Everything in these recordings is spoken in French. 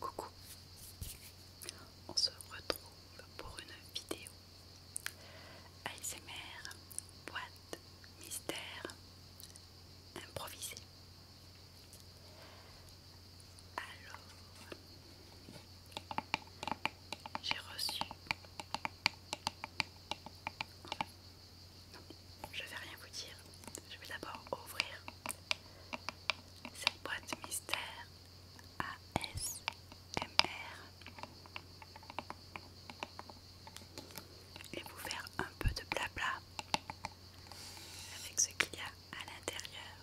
Coucou, on se retrouve pour une vidéo ASMR, boîte, mystère, improvisée Alors, j'ai reçu non, je vais rien vous dire. Je vais d'abord ouvrir cette boîte mystère ASMR et vous faire un peu de blabla avec ce qu'il y a à l'intérieur.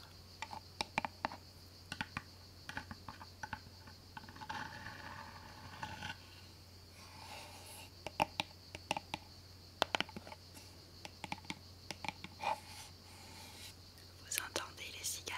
Vous entendez les cigales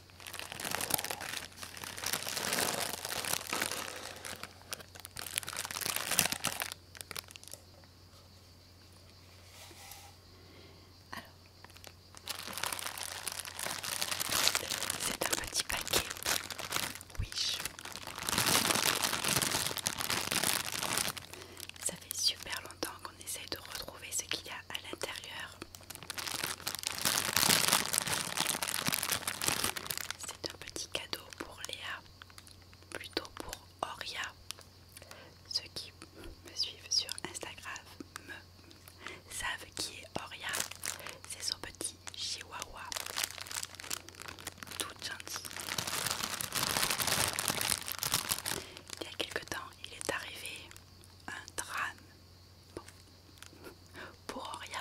Alors, c'est un petit paquet Wish. Ça fait super longtemps qu'on essaye de retrouver ce qu'il y a à l'intérieur. C'est un petit cadeau pour Léa, plutôt pour Oria. Ceux qui me suivent sur Instagram me savent qui est Oria. C'est son petit chihuahua, tout gentil. Il y a quelque temps, il est arrivé un drame Bon. Pour Auria,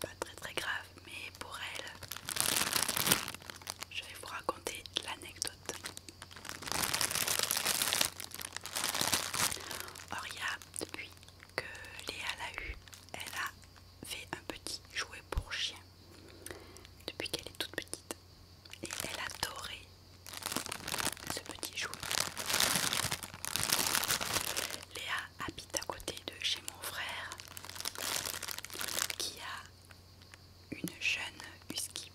pas très très grave, mais pour elle, je vais vous raconter l'anecdote. Auria, depuis que Léa l'a eu, elle a fait un petit jouet pour chien. Depuis qu'elle est toute petite, et elle adorait ce petit jouet. Léa habite à côté de chez mon frère qui a une jeune husky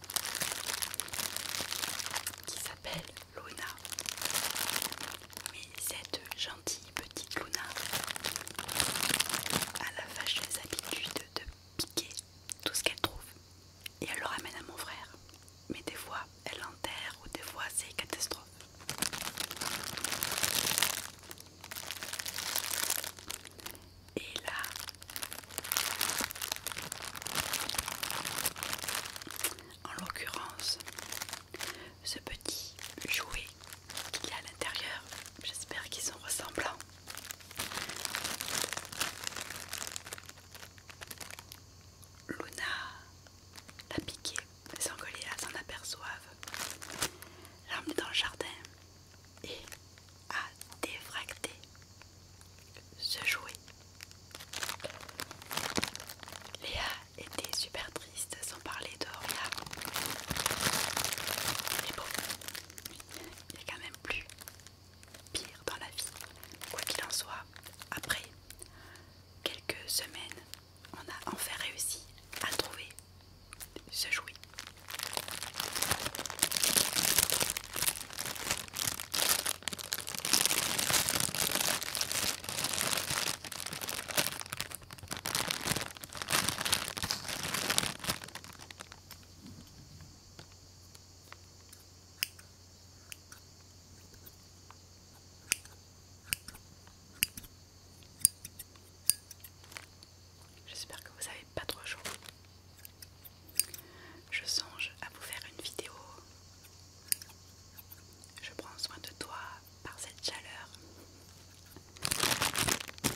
qui s'appelle Luna. Mais cette gentille petite Luna a la fâcheuse habitude de piquer tout ce qu'elle trouve et elle le ramène à mon frère. Mais des fois, elle l'enterre ou des fois, c'est catastrophe. Et là, en l'occurrence, ce petit jouet qu'il y a à l'intérieur, j'espère qu'ils sont ressemblants. Luna l'a piqué, sans que Léa s'en aperçoive. L'a emmené dans le jardin et a défracté ce jouet. Léa était super triste sans parler de rien. Mais bon, il n'y a quand même plus pire dans la vie. Quoi qu'il en soit, après quelques semaines, on a enfin réussi à trouver ce jouet. J'espère que vous avez pas trop chaud. Je songe à vous faire une vidéo. Je prends soin de toi par cette chaleur.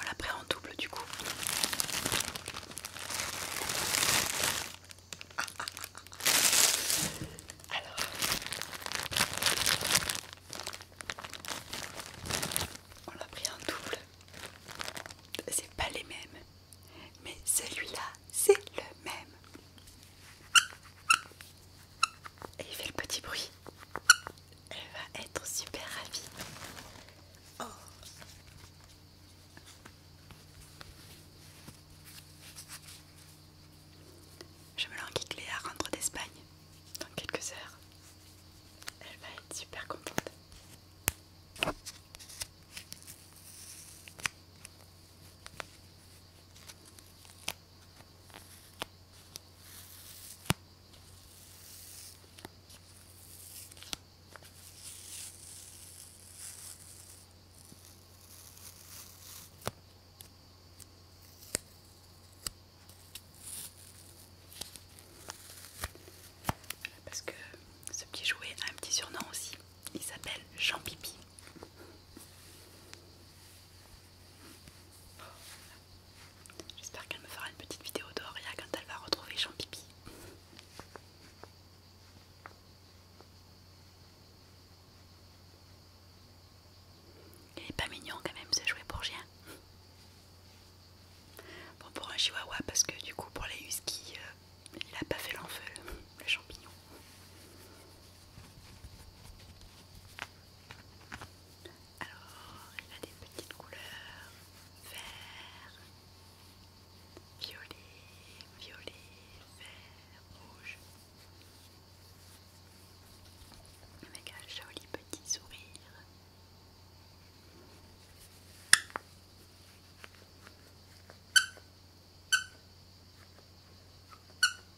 On la pris en double du coup. On l'a pris en double. C'est pas les mêmes. Mais celui-là, c'est le même. Et il fait le petit bruit. Elle va être super ravie. Oh. Je me lance que à rentrer d'Espagne dans quelques heures. Elle va être super contente. Parce que ce petit jouet a un petit surnom aussi, il s'appelle Jean Pipi. J'espère qu'elle me fera une petite vidéo d'Oria quand elle va retrouver Jean-Pipi. Il est pas mignon quand même ce jouet pour Bon pour un chihuahua parce que du coup pour les huskies euh, il a pas fait l'enfeu le champignon. Alors, il a des petites couleurs vert, violet, violet, vert, rouge. Avec un joli petit sourire.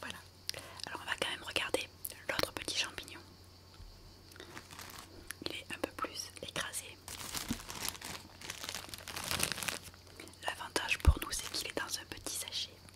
Voilà, alors on va quand même regarder l'autre petit champignon. Il est un peu plus écrasé. L'avantage pour nous, c'est qu'il est dans un petit sachet.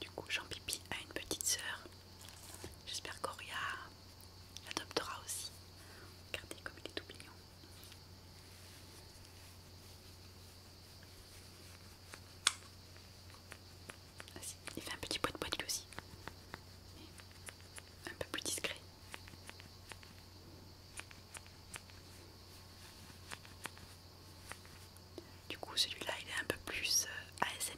Du coup, Jean-Pipi a une petite sœur. J'espère qu'Oria l'adoptera aussi. Regardez comme il est tout mignon. Ah, il fait un petit poids de poids aussi. un peu plus discret. Du coup, celui-là, il est un peu plus euh, ASMR.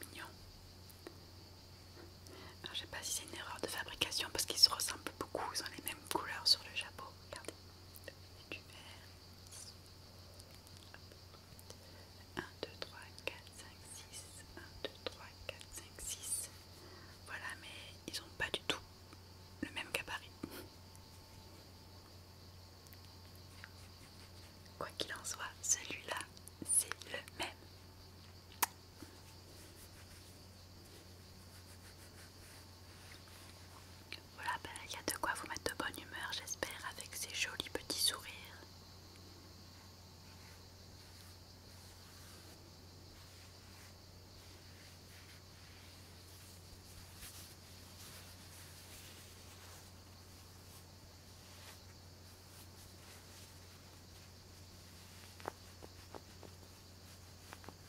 Mignon. Alors, je sais pas si c'est une erreur de fabrication parce qu'ils se ressemblent beaucoup, ils ont les mêmes couleurs sur le chapeau. Regardez, 1, 2, 3, 4, 5, 6. 1, 2, 3, 4, 5, 6. Voilà, mais ils n'ont pas du tout le même gabarit. Quoi qu'il en soit, celui-là, c'est le même. Voilà, ben, il y a de quoi vous mettre de bonne humeur, j'espère, avec ces jolis petits sourires.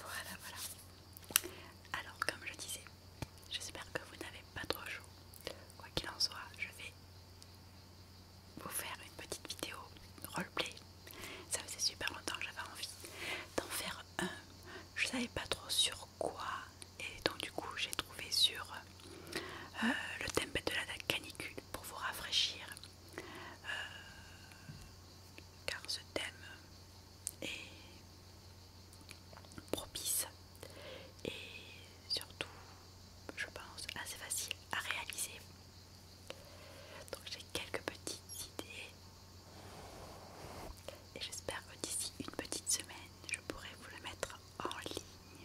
Voilà, voilà. Alors, comme je disais, j'espère que vous n'avez pas trop chaud. Quoi qu'il en soit, je vais vous faire une petite vidéo roleplay. Ça faisait super longtemps que j'avais envie d'en faire un. Je savais pas trop sur quoi, et donc du coup, j'ai trouvé sur euh, le thème de la canicule pour vous rafraîchir, euh, car ce thème est propice et surtout, je pense, assez facile à réaliser. Donc j'ai quelques petites idées et j'espère que d'ici une petite semaine, je pourrai vous le mettre en ligne.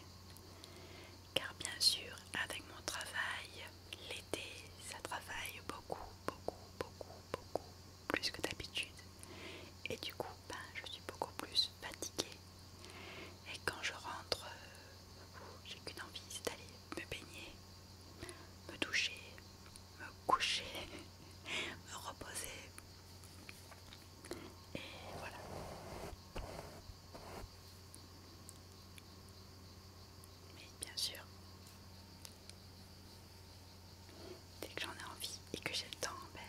Car bien sûr, avec mon travail, l'été, ça travaille beaucoup, beaucoup, beaucoup, beaucoup, plus que d'habitude. Et du coup, ben, je suis beaucoup plus fatiguée. Et quand je rentre, euh, j'ai qu'une envie, c'est d'aller me baigner, me toucher, me coucher, me reposer, et voilà. Mais bien sûr, dès que j'en ai envie et que j'ai le temps, ben,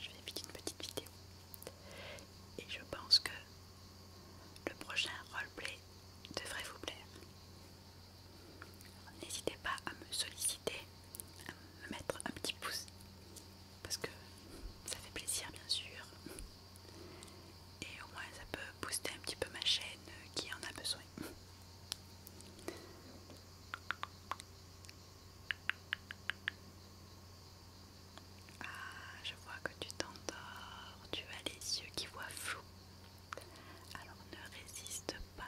je vais éviter une petite vidéo. Et je pense que le prochain roleplay devrait vous plaire. N'hésitez pas à me solliciter, à me mettre un petit pouce parce que ça fait plaisir bien sûr et au moins ça peut booster un petit peu ma chaîne euh, qui en a besoin ah je vois que tu t'endors tu as les yeux qui voient flou alors ne résiste pas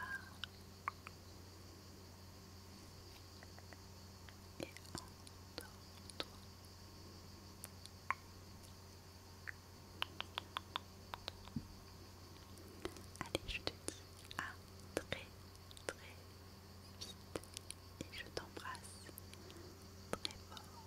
Allez, je te dis à très très vite et je t'embrasse très fort.